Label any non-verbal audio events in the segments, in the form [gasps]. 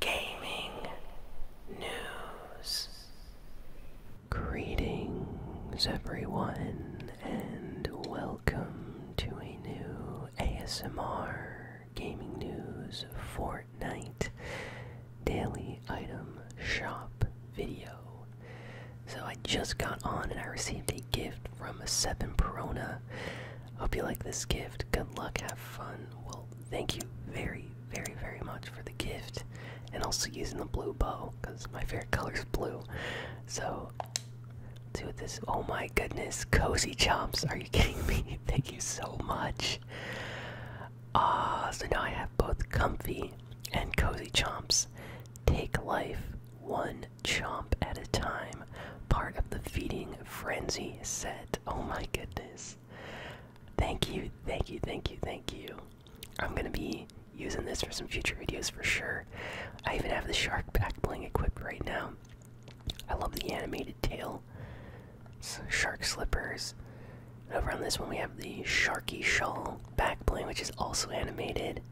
gaming news. Greetings, everyone, and welcome to a new ASMR Gaming News Fortnite Daily Item Shop video. So I just got on and I received a gift from a 7 Perona. Hope you like this gift. Good luck. Have fun. Well, thank you very, very, very much for the gift. And also using the blue bow, because my favorite color is blue. So, do this. Oh my goodness. Cozy Chomps. Are you kidding me? [laughs] thank you so much. Ah, so now I have both comfy and cozy chomps. Take life one chomp at a time. Part of the feeding frenzy set. Oh my goodness. Thank you, thank you, thank you, thank you. I'm gonna be using this for some future videos for sure. I even have the shark back bling equipped right now. I love the animated tail, shark slippers. over on this one, we have the Sharky Shawl back bling, which is also animated.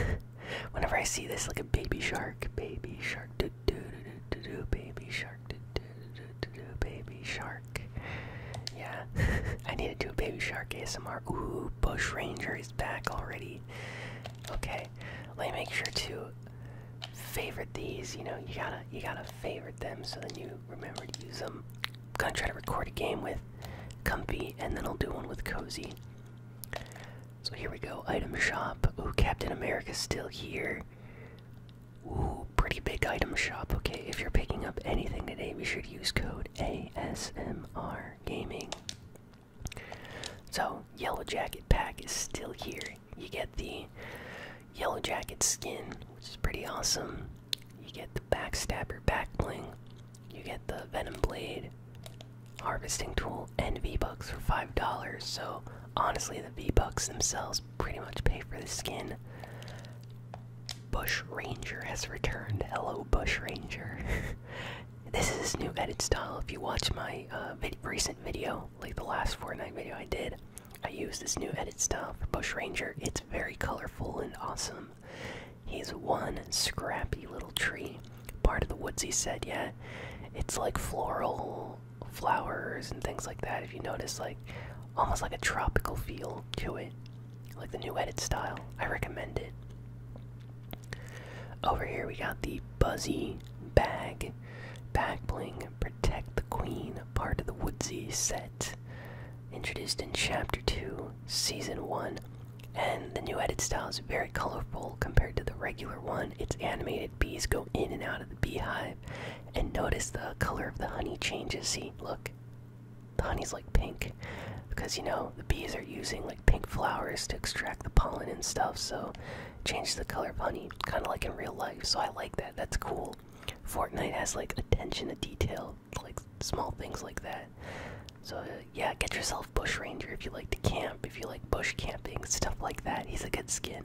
[laughs] Whenever I see this, like a baby shark, baby shark, dude, do do do do baby shark do do do do do baby shark. Yeah, [laughs] I need to do baby shark ASMR. Ooh, Bush Ranger is back already. Okay, let me make sure to favorite these. You know, you gotta you gotta favorite them so then you remember to use them. I'm gonna try to record a game with Comfy, and then I'll do one with Cozy. So here we go, item shop. Ooh, Captain America's still here. Ooh, pretty big item shop. Okay, if you're picking up anything today, we should use code ASMR Gaming. So, Yellow Jacket pack is still here. You get the Yellow Jacket skin, which is pretty awesome. You get the Backstabber back bling. You get the Venom Blade harvesting tool and V-Bucks for $5. So honestly, the V-Bucks themselves pretty much pay for the skin. Bush Ranger has returned. Hello, Bush Ranger. [laughs] this is his new edit style. If you watch my uh, recent video, like the last Fortnite video I did, I used this new edit style for Bush Ranger. It's very colorful and awesome. He's one scrappy little tree part of the woodsy set, said yeah it's like floral flowers and things like that if you notice like almost like a tropical feel to it like the new edit style i recommend it over here we got the buzzy bag back bling protect the queen part of the woodsy set introduced in chapter 2 season 1 and the new edit style very colorful compared to the regular one. Its animated bees go in and out of the beehive. And notice the color of the honey changes. See, look. The honey's like pink. Because, you know, the bees are using like pink flowers to extract the pollen and stuff. So, change the color of honey. Kind of like in real life. So, I like that. That's cool. Fortnite has like attention to detail. Like small things like that. So, yeah, get yourself Bush Ranger if you like to camp, if you like bush camping, stuff like that. He's a good skin.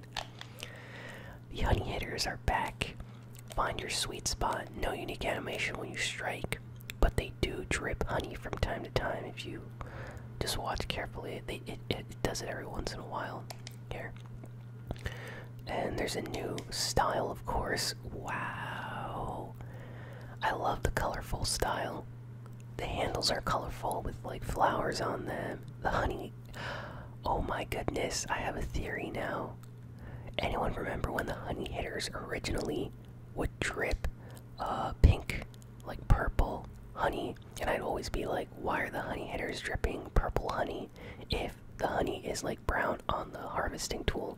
The Honey Hitters are back. Find your sweet spot. No unique animation when you strike, but they do drip honey from time to time if you just watch carefully. They, it, it does it every once in a while here. And there's a new style, of course. Wow. I love the colorful style. The handles are colorful with like flowers on them. The honey. Oh my goodness, I have a theory now. Anyone remember when the honey hitters originally would drip uh, pink, like purple honey? And I'd always be like, why are the honey hitters dripping purple honey? If the honey is like brown on the harvesting tool,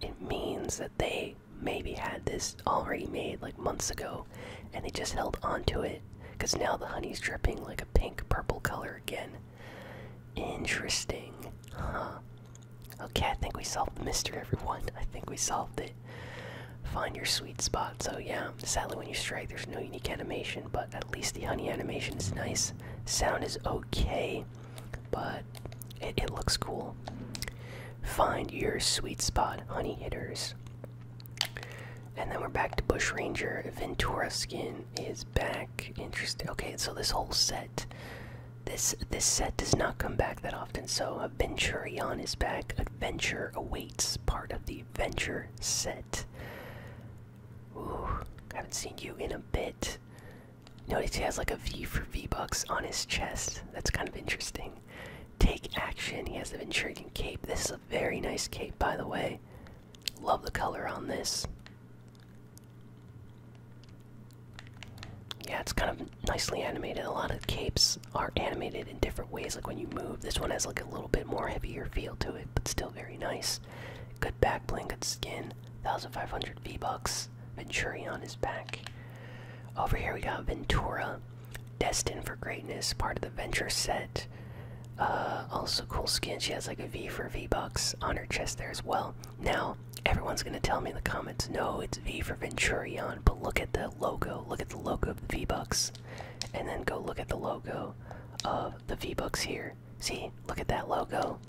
it means that they maybe had this already made like months ago and they just held onto it because now the honey's dripping like a pink purple color again. Interesting. Huh. Okay, I think we solved the mystery, everyone. I think we solved it. Find your sweet spot. So, yeah, sadly, when you strike, there's no unique animation, but at least the honey animation is nice. Sound is okay, but it looks cool. Find your sweet spot, honey hitters. And then we're back to Bush Ranger. Ventura skin is back. Interesting. Okay, so this whole set, this this set does not come back that often. So Venturion is back. Adventure awaits. Part of the Adventure set. Ooh, haven't seen you in a bit. Notice he has like a V for V bucks on his chest. That's kind of interesting. Take action. He has the intriguing cape. This is a very nice cape, by the way. Love the color on this. Yeah, it's kind of nicely animated. A lot of capes are animated in different ways, like when you move. This one has like a little bit more heavier feel to it, but still very nice. Good back bling, good skin. 1500 V-Bucks. Venturi on his back. Over here we got Ventura, destined for greatness, part of the Venture set. Uh, also cool skin. She has like a V for V Bucks on her chest there as well. Now everyone's gonna tell me in the comments, no, it's V for Venturion. But look at the logo. Look at the logo of the V Bucks, and then go look at the logo of the V Bucks here. See, look at that logo.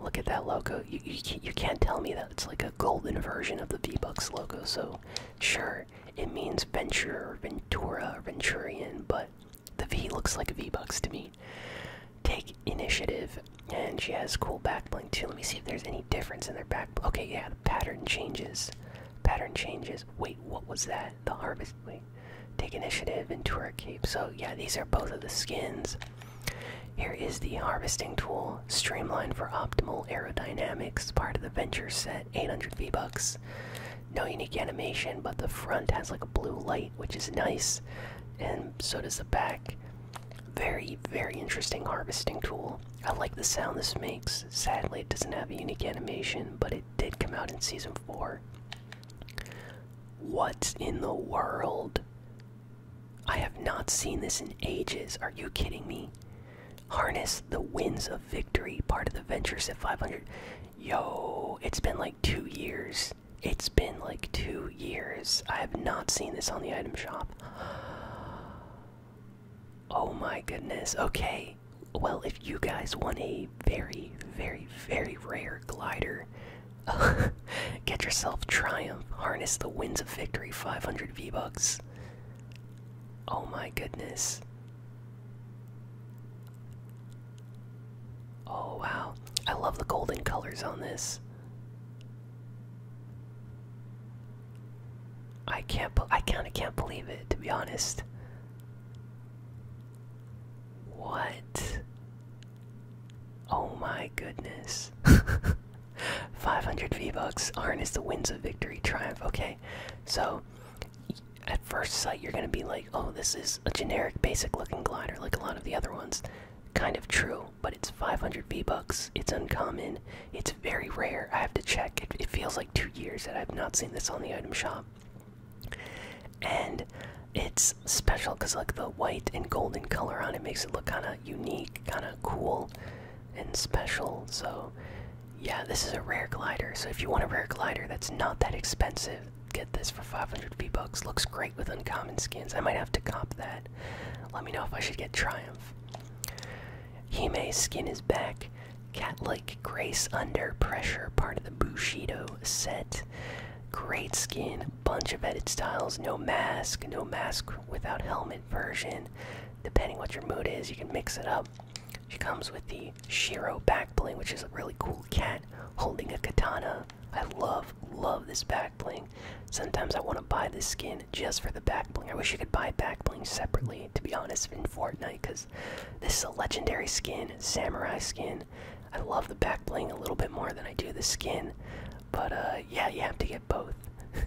Look at that logo. You, you, can't tell me that it's like a golden version of the V-Bucks logo, so sure, it means Venture or Ventura or Venturian, but the V looks like a V-Bucks to me. Take initiative, and she has cool backbling too. Let me see if there's any difference in their back. Okay, yeah, the pattern changes. Pattern changes. Wait, what was that? The harvest. Take initiative and tour cape. So yeah, these are both of the skins. Here is the harvesting tool, streamlined for optimal aerodynamics, part of the venture set, 800 V-Bucks. No unique animation, but the front has like a blue light, which is nice, and so does the back. Very, very interesting harvesting tool. I like the sound this makes. Sadly, it doesn't have a unique animation, but it did come out in season 4. What's in the world? I have not seen this in ages. Are you kidding me? Harness the winds of victory, part of the Ventures at 500. Yo, it's been like two years. It's been like two years. I have not seen this on the item shop. [gasps] Oh my goodness. Okay. Well, if you guys want a very, very, very rare glider Hunter. [laughs] Get yourself Triumph. Harness the winds of victory. 500 V-Bucks. Oh my goodness. Oh wow. I love the golden colors on this. I can't I kind of can't believe it to be honest. What? Oh my goodness. [laughs] 500 V-Bucks. Harness the winds of victory. Triumph. Okay. So, at first sight, you're going to be like, oh, this is a generic, basic looking glider like a lot of the other ones. Kind of true, but it's 500 V-Bucks. It's uncommon. It's very rare. I have to check. It, it feels like two years that I've not seen this on the item shop and it's special because like the white and golden color on it makes it look kind of unique kind of cool and special so yeah this is a rare glider so if you want a rare glider that's not that expensive get this for 500 v bucks looks great with uncommon skins i might have to cop that let me know if i should get triumph He may skin his back cat like grace under pressure part of the bushido set Great skin, bunch of edit styles, no mask, no mask without helmet version. Depending what your mood is, you can mix it up. She comes with the Shiro backbling, which is a really cool cat holding a katana. I love, love this backbling. Sometimes I want to buy this skin just for the backbling. I wish you could buy backbling separately, to be honest, in Fortnite, because this is a legendary skin, samurai skin. I love the back bling a little bit more than I do the skin, but uh, yeah, you have to get both. [laughs]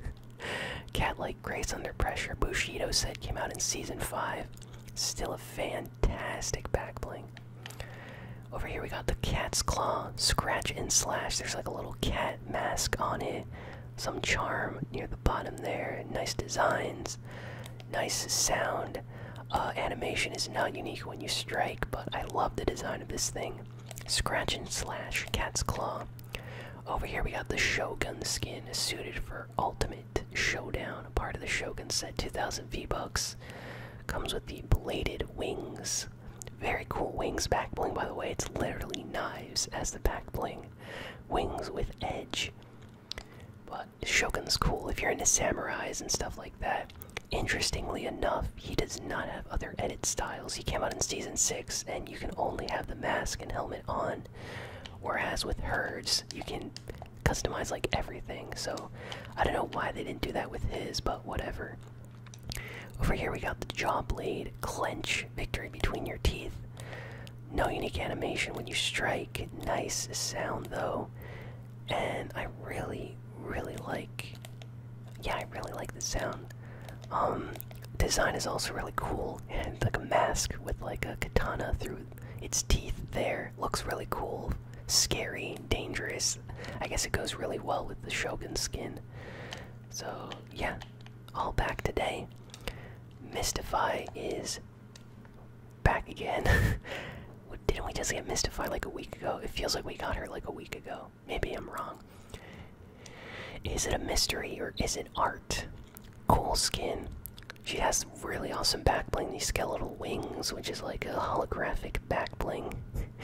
Cat like Grace Under Pressure, Bushido said came out in season 5. Still a fantastic back bling. Over here we got the cat's claw, scratch and slash. There's like a little cat mask on it. Some charm near the bottom there. Nice designs nice sound. Uh, animation is not unique when you strike, but I love the design of this thing. Scratch and slash, cat's claw. Over here we got the Shogun skin, suited for Ultimate Showdown, part of the Shogun set, 2000 V-Bucks. Comes with the bladed wings. Very cool wings back bling, by the way. It's literally knives as the back bling. Wings with edge. But Shogun's cool if you're into samurais and stuff like that. Interestingly enough, he does not have other edit styles. He came out in season 6, and you can only have the mask and helmet on. Whereas with Herds, you can customize like everything. So I don't know why they didn't do that with his, but whatever. Over here, we got the jaw blade, clench, victory between your teeth. No unique animation when you strike. Nice sound though and I really, really like. Yeah, I really like the sound. Um, design is also really cool, and like a mask with like a katana through its teeth. There looks really cool, scary, dangerous. I guess it goes really well with the Shogun skin. So yeah, all back today. Mystify is back again. [laughs] Didn't we just get mystified like a week ago? It feels like we got her like a week ago. Maybe I'm wrong. Is it a mystery or is it art? Cool skin. She has really awesome back bling. these skeletal wings, which is like a holographic back bling.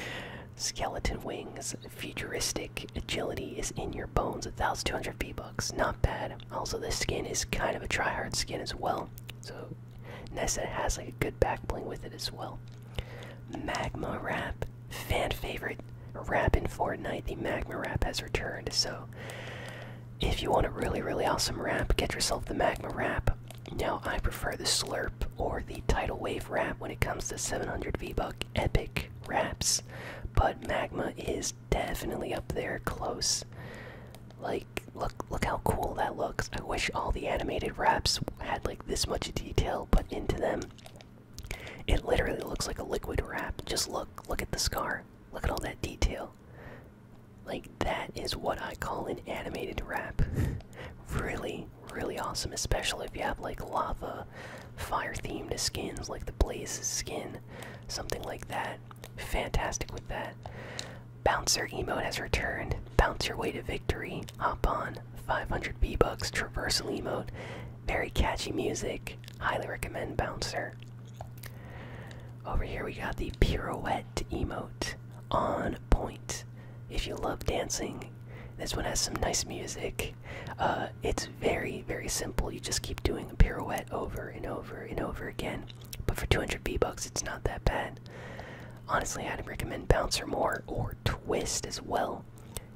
[laughs] Skeleton wings, futuristic agility is in your bones, 1200 b bucks. Not bad. Also, this skin is kind of a tryhard skin as well. So nice that it has like a good back bling with it as well. Magma Wrap, fan favorite wrap in Fortnite. The Magma Wrap has returned. So if you want a really really awesome wrap, get yourself the Magma Wrap. Now I prefer the Slurp or the Tidal Wave Wrap when it comes to 700 V-Buck epic wraps, but Magma is definitely up there close. Like, look, look how cool that looks. I wish all the animated wraps had like this much detail put into them. It literally looks like a liquid wrap. Just look, look at the scar. Look at all that detail. Like, that is what I call an animated wrap. [laughs] really, really awesome, especially if you have like lava, fire themed skins, like the Blaze skin, something like that fantastic with that. Bouncer emote has returned. Bounce your way to victory. Hop on. 500 B bucks. Traversal emote. Very catchy music. Highly recommend Bouncer. Over here we got the pirouette emote. On point. If you love dancing, this one has some nice music. Uh, it's very, very simple. You just keep doing a pirouette over and over over and over again. But for 200 V bucks, it's not that bad. Honestly, I'd recommend Bouncer more or Twist as well.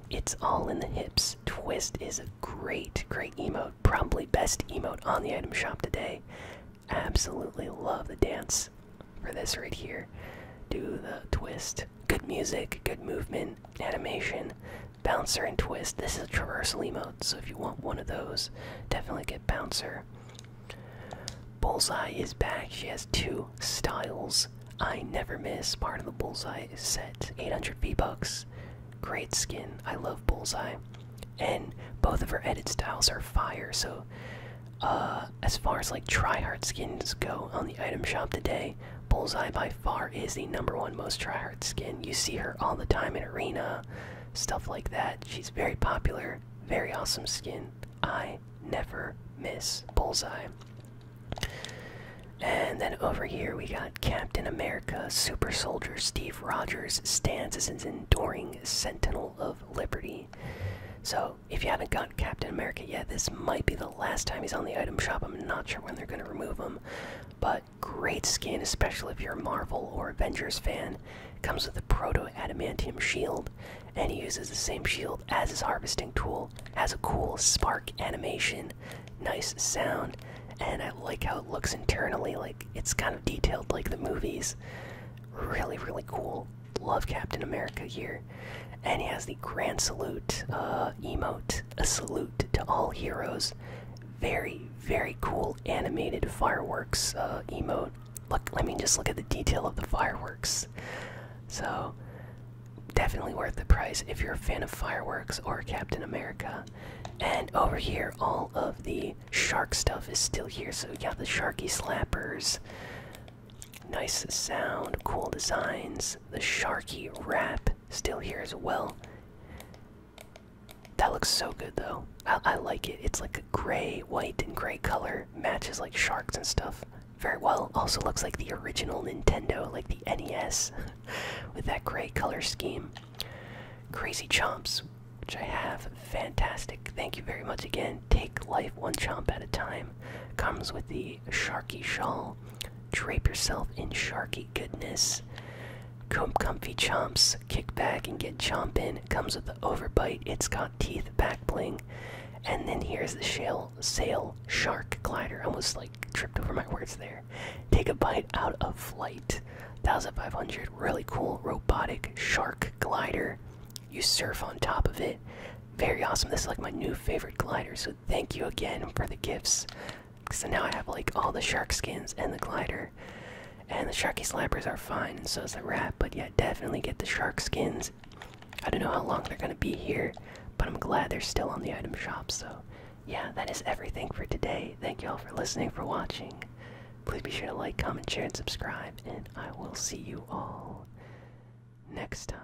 It's all in the hips. Twist is a great, great emote. Probably best emote on the item shop today. Absolutely love the dance for this right here. Do the twist. Good music, good movement, animation. Bouncer and Twist. This is a traversal emote, so if you want one of those, definitely get Bouncer. Bullseye is back. She has two styles. I never miss. Part of the Bullseye set. 800 V-Bucks. Great skin. I love Bullseye. And both of her edit styles are fire, so uh, as far as like try hard skins go on the item shop today, Bullseye by far is the number one most tryhard skin. You see her all the time in arena, stuff like that. She's very popular, very awesome skin. I never miss Bullseye. And then over here we got Captain America, Super Soldier Steve Rogers stands as an enduring sentinel of liberty. So, if you haven't got Captain America yet, this might be the last time he's on the item shop. I'm not sure when they're going to remove him. But great skin, especially if you're a Marvel or Avengers fan. Comes with a proto adamantium shield, and he uses the same shield as his harvesting tool. Has a cool spark animation, nice sound, and I like how it looks internally. Like it's kind of detailed like the movies. Really, really cool. Love Captain America here, and he has the Grand Salute uh, emote a salute to all heroes. Very, very cool animated fireworks uh, emote. Look, I mean, just look at the detail of the fireworks. So, definitely worth the price if you're a fan of fireworks or Captain America. And over here, all of the shark stuff is still here. So, yeah, the Sharky Slappers. Nice sound, cool designs, the Sharky Wrap still here as well. That looks so good though. I, I like it. It's like a gray, white, and gray color. Matches like sharks and stuff very well. Also looks like the original Nintendo, like the NES, [laughs] with that gray color scheme. Crazy Chomps, which I have. Fantastic. Thank you very much again. Take life one chomp at a time. Comes with the sharky shawl. Drape yourself in sharky goodness. Com comfy chomps. Kick back and get chompin'. Comes with the overbite. It's got teeth, back bling. And then here's the shell sail shark glider. I Almost like tripped over my words there. Take a bite out of flight. 1500. Really cool robotic shark glider. You surf on top of it. Very awesome. This is like my new favorite glider so Thank you again for the gifts. So now I have like all the shark skins and the glider. And the sharky slappers are fine, so is the wrap. But yeah, definitely get the shark skins. I don't know how long they're gonna be here, but I'm glad they're still on the item shop. So yeah, that is everything for today. Thank you all for listening, for watching. Please be sure to like, comment, share, and subscribe. And I will see you all next time.